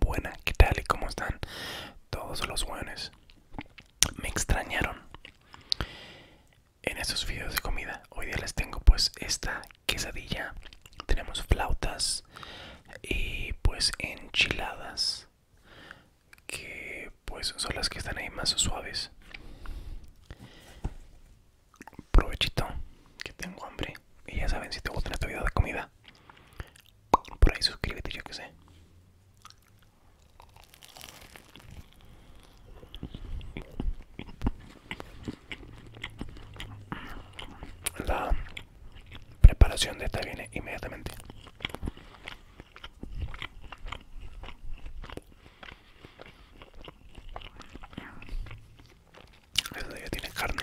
Buena, ¿qué tal y cómo están todos los buenos? Me extrañaron en estos videos de comida. Hoy día les tengo pues esta quesadilla. Tenemos flautas y pues enchiladas que pues son las que están ahí más suaves provechito que tengo hambre y ya saben si te gusta esta video de comida por ahí suscríbete yo que sé la preparación de esta viene inmediatamente eso ya tiene carne.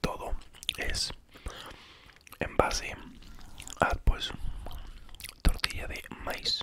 Todo es en base a pues tortilla de maíz.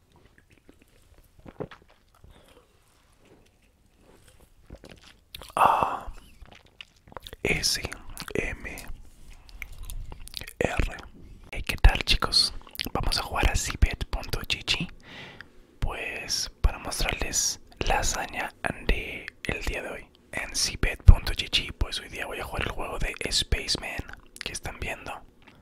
A S M R hey, ¿Qué tal chicos? Vamos a jugar a chichi Pues para mostrarles la hazaña del el día de hoy En cbet.gg pues hoy día voy a jugar el juego de Spaceman que están viendo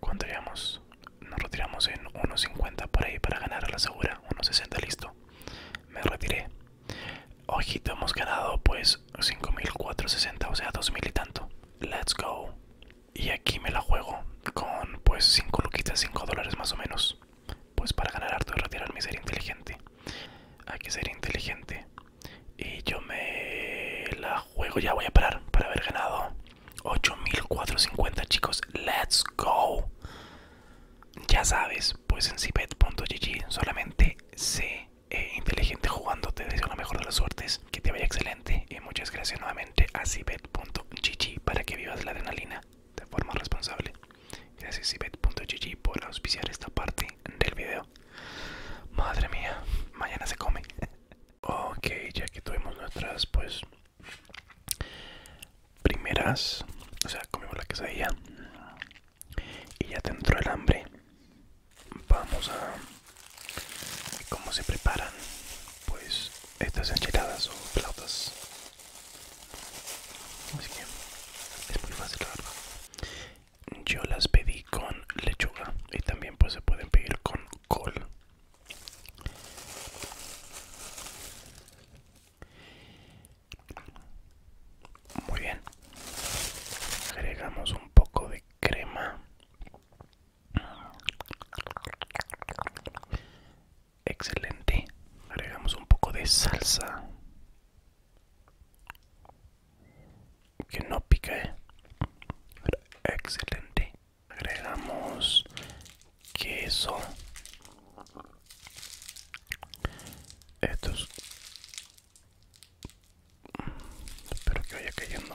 ¿Cuánto llevamos? Nos retiramos en 1.50 por ahí para ganar a la segura. 1.60, listo. Me retiré. Ojito, hemos ganado pues 5.460, o sea, 2.000 y tanto. Let's go. Y aquí me la juego con pues 5 luquitas, 5 dólares más o menos. Pues para ganar harto y retirarme ser inteligente. Hay que ser inteligente. Y yo me la juego, ya voy a parar para haber ganado 8450 chicos, let's go. Ya sabes, pues en cbet.gg solamente sé eh, inteligente jugando. Te deseo la mejor de las suertes, que te vaya excelente. Y muchas gracias nuevamente a cbet.gg para que vivas la adrenalina de forma responsable. Gracias cbet.gg por auspiciar esta parte del video. Madre mía, mañana se come. Ok, ya que tuvimos nuestras, pues, primeras, o sea, comimos la quesadilla y ya dentro del hambre. Vamos a cómo se preparan, pues, estas enchiladas o flautas. Así que es muy fácil, Yo las pedí con lechuga y también, pues, se pueden pedir con muy bien. Agregamos un poco de crema. Excelente. Agregamos un poco de salsa que no pica ¿eh? excelente agregamos queso estos mm, espero que vaya cayendo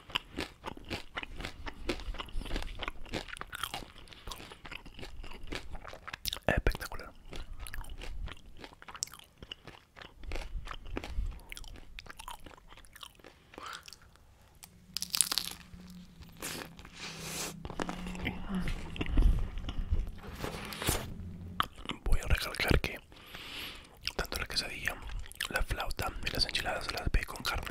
Espectacular. Voy a recalcar que tanto la quesadilla, la flauta y las enchiladas las pedí con carne.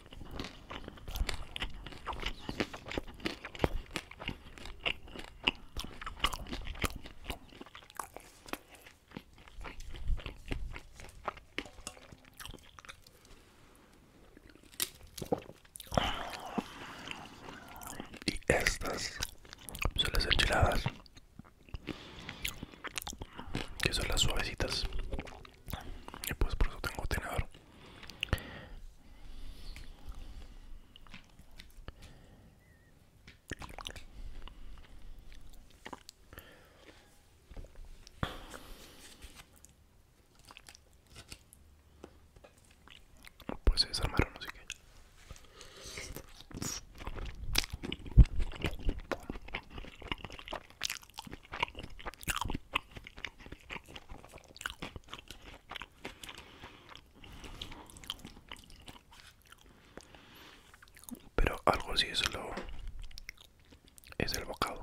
Y estas son las enchiladas, que son las suavecitas y pues por eso tengo tenedor pues se desarmaron así que pero algo así es lo es el bocado.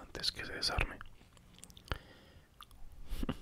Antes que se desarme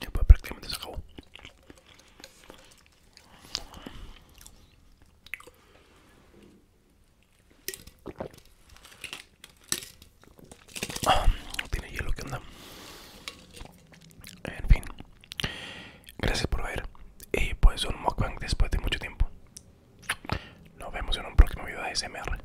Ya pues prácticamente se acabó. Ah, tiene hielo que anda. En fin. Gracias por ver. Y pues un mukbang después de mucho tiempo. Nos vemos en un próximo video de SMR.